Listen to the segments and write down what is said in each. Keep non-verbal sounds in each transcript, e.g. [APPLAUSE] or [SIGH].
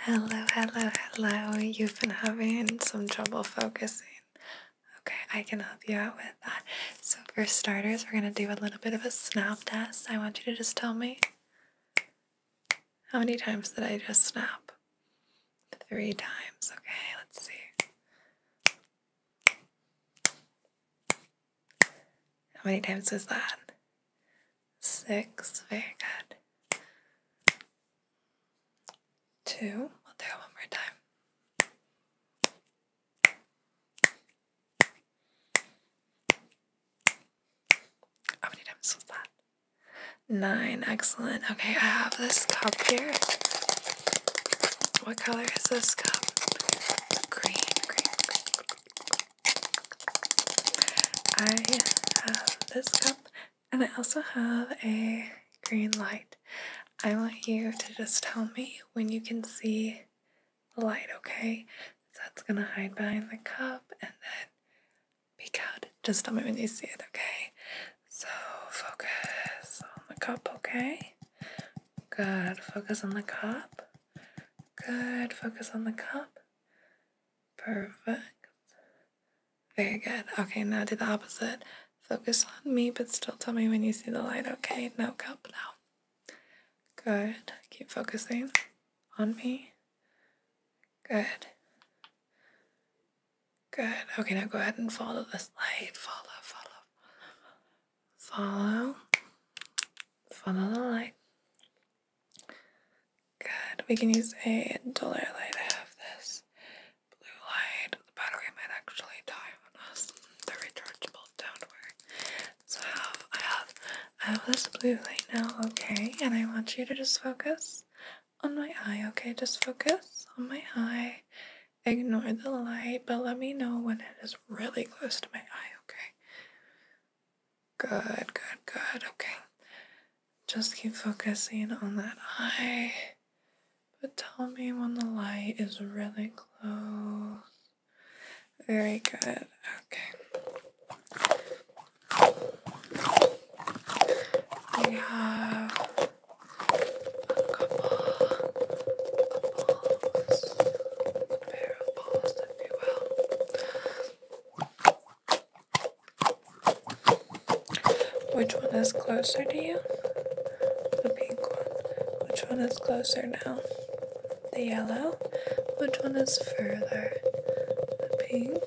Hello, hello, hello. You've been having some trouble focusing. Okay, I can help you out with that. So, for starters, we're going to do a little bit of a snap test. I want you to just tell me how many times did I just snap? Three times. Okay, let's see. How many times was that? Six. Very good. Two. We'll do it one more time. How many times was that? Nine. Excellent. Okay, I have this cup here. What color is this cup? Green, green, I have this cup and I also have a green light. I want you to just tell me when you can see the light, okay? that's gonna hide behind the cup and then peek out. Just tell me when you see it, okay? So focus on the cup, okay? Good. Focus on the cup. Good. Focus on the cup. Perfect. Very good. Okay, now do the opposite. Focus on me, but still tell me when you see the light, okay? No cup now. Good. Keep focusing on me. Good. Good. Okay, now go ahead and follow this light. Follow, follow, follow, Follow. Follow the light. Good. We can use a duller light. I have this blue light. The battery might actually die on us. The are rechargeable. Don't worry. So I have, I have, I have this blue light now. Okay, and I want you to just focus on my eye. Okay, just focus on my eye ignore the light, but let me know when it is really close to my eye, okay? Good, good, good, okay. Just keep focusing on that eye. But tell me when the light is really close. Very good, okay. We have which one is closer to you? The pink one. Which one is closer now? The yellow. Which one is further? The pink.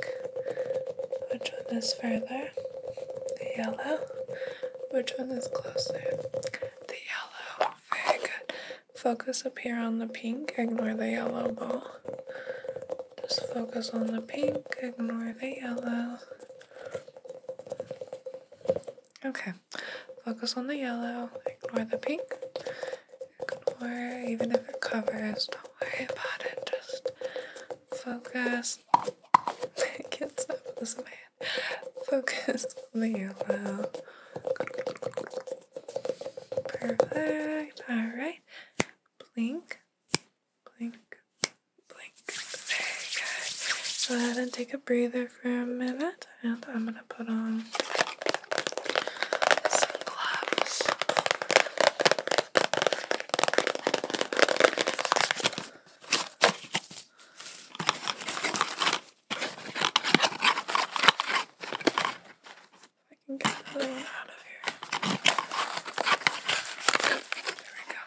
Which one is further? The yellow. Which one is closer? The yellow. Very good. Focus up here on the pink. Ignore the yellow ball. Just focus on the pink. Ignore the yellow. Okay. Focus on the yellow. Ignore the pink. Ignore, even if it covers. Don't worry about it. Just focus. [LAUGHS] It gets not stop this way. Focus over your Perfect. All right. Blink, blink, blink. Very good. Go ahead and take a breather for a minute, and I'm gonna put on some gloves. I can get everything out of here. There we go.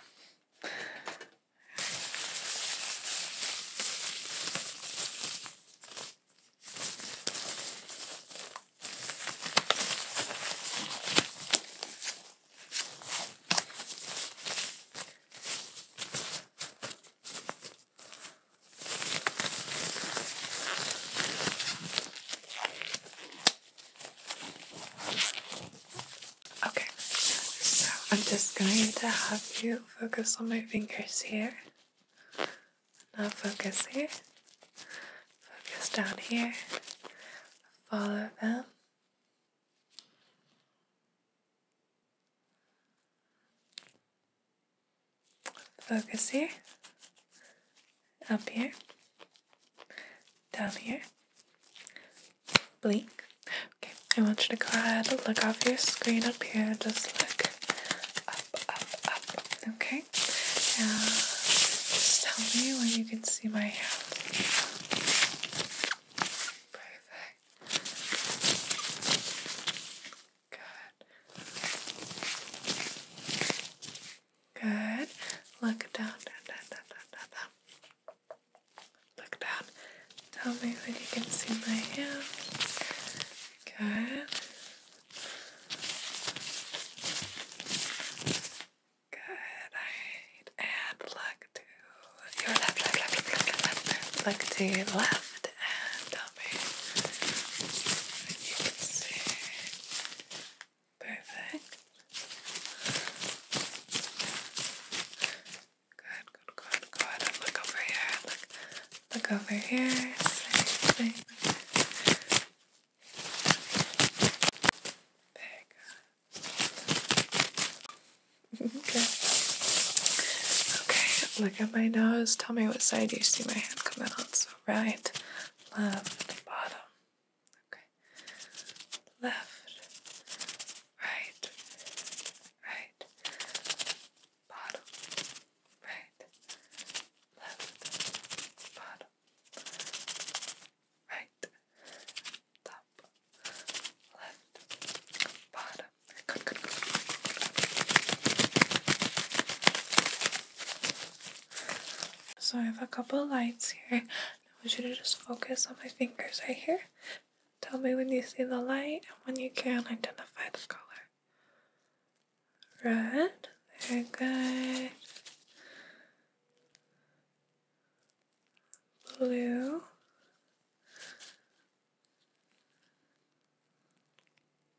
Okay, so I'm just going to have you focus on my fingers here. Now focus here, focus down here, follow them Focus here, up here, down here, blink. Okay, I want you to look off your screen up here just look up, up, up. Okay. Yeah. just tell me when you can see my hands. Perfect. Good. Good. Look down, down, down, down, down, down, Look down. Tell me when you can see my hands. Good. Good. Right. And look to your left, left, left, left, left, left, left. Look to your left and tell me if you can see. Perfect. Good, good, good, good. And look over here. Look, look over here. Same thing. [LAUGHS] okay. Okay, look at my nose. Tell me what side you see my hand come out. So right, left, bottom. Okay. Left, right, right, bottom, right, left, bottom right, top, left, bottom. So I have a couple lights here. I want you to just focus on my fingers right here. Tell me when you see the light and when you can identify the color. Red, very good. Blue.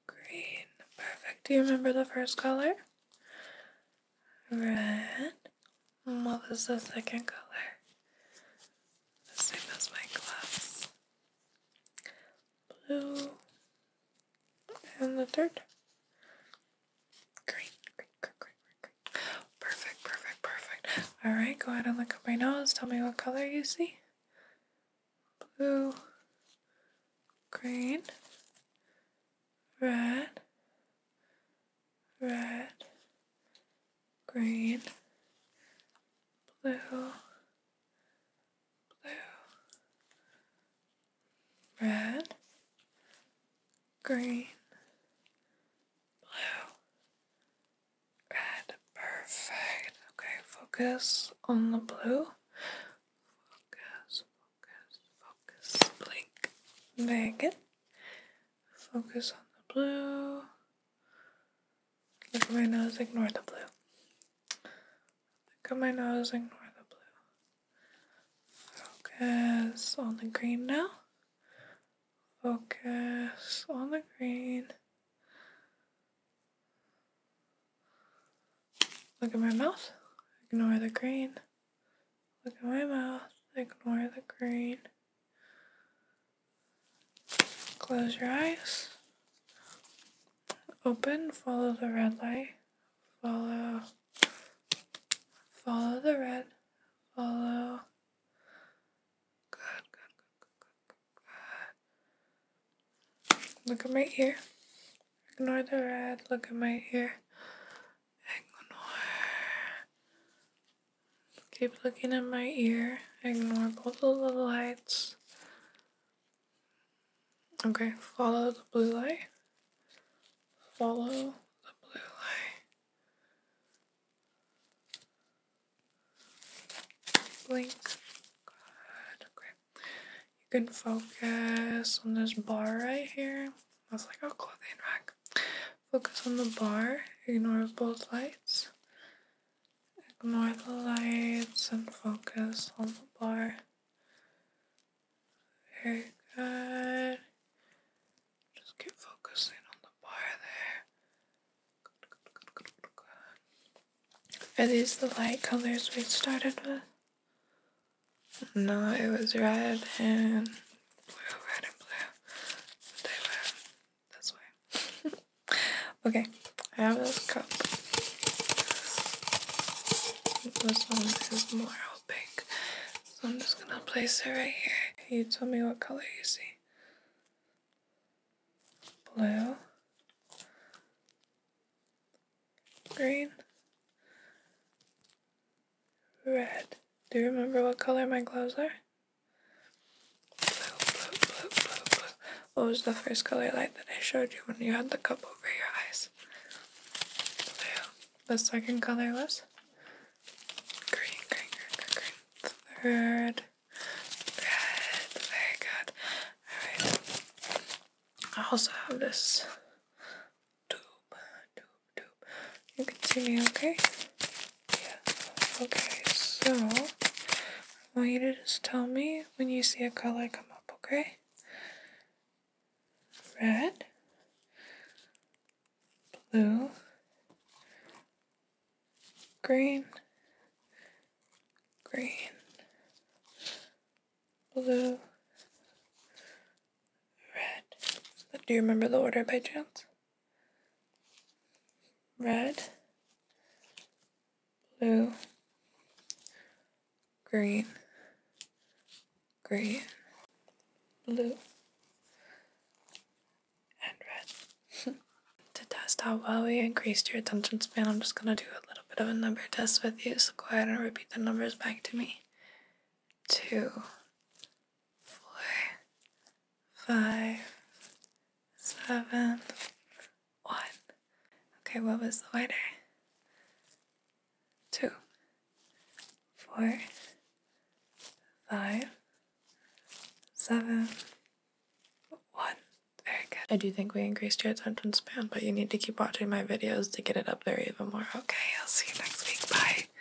Green, perfect. Do you remember the first color? Red. And what was the second color? The same as my gloves. Blue and the third. Great, great, great, great, great, Perfect, perfect, perfect. All right, go ahead and look up my nose. Tell me what color you see. Blue, green, red, red, green, blue, blue, red, green, blue, red. Perfect. Okay, focus on the blue. Focus, focus, focus. Blink. Very good. Focus on the blue. Look at my nose, ignore the blue. Look at my nose, ignore the blue. Focus on the green now. Focus on the green. Look at my mouth, ignore the green. Look at my mouth, ignore the green. Close your eyes open, follow the red light, follow, follow the red, follow. Good, good, good, good, good, good. Look at my ear. Ignore the red. Look at my ear. Ignore. Keep looking at my ear. Ignore both of the lights. Okay, follow the blue light. Follow the blue light. Blink. Good. Okay. You can focus on this bar right here. That's like a clothing rack. Focus on the bar. Ignore both lights. Ignore the lights and focus on the bar. Very good. Just keep focusing on the bar there. Are these the light colors we started with? No, it was red and blue, red and blue. But they that's why. [LAUGHS] okay, I have this cup. This one is more opaque. So I'm just gonna place it right here. You tell me what color you see. Blue. Green. Red. Do you remember what color my gloves are? What was the first color light that I showed you when you had the cup over your eyes? Blue. The second color was? Green, green, green, green. The third. Red. Very good. Alright. I also have this tube. Tube, tube. You can see me okay? Yeah. Okay, so I want you to just tell me when you see a color come up, okay? Red, blue, green, green, blue, red. Do you remember the order by chance? red, blue, green, green, blue, and red. [LAUGHS] to test how well we increased your attention span, I'm just going to do a little bit of a number test with you, so go ahead and repeat the numbers back to me. Two, four, five, seven, one. Okay, what was the letter? Two, four, five, seven, one. Very good. I do think we increased your attention span, but you need to keep watching my videos to get it up there even more. Okay, I'll see you next week. Bye.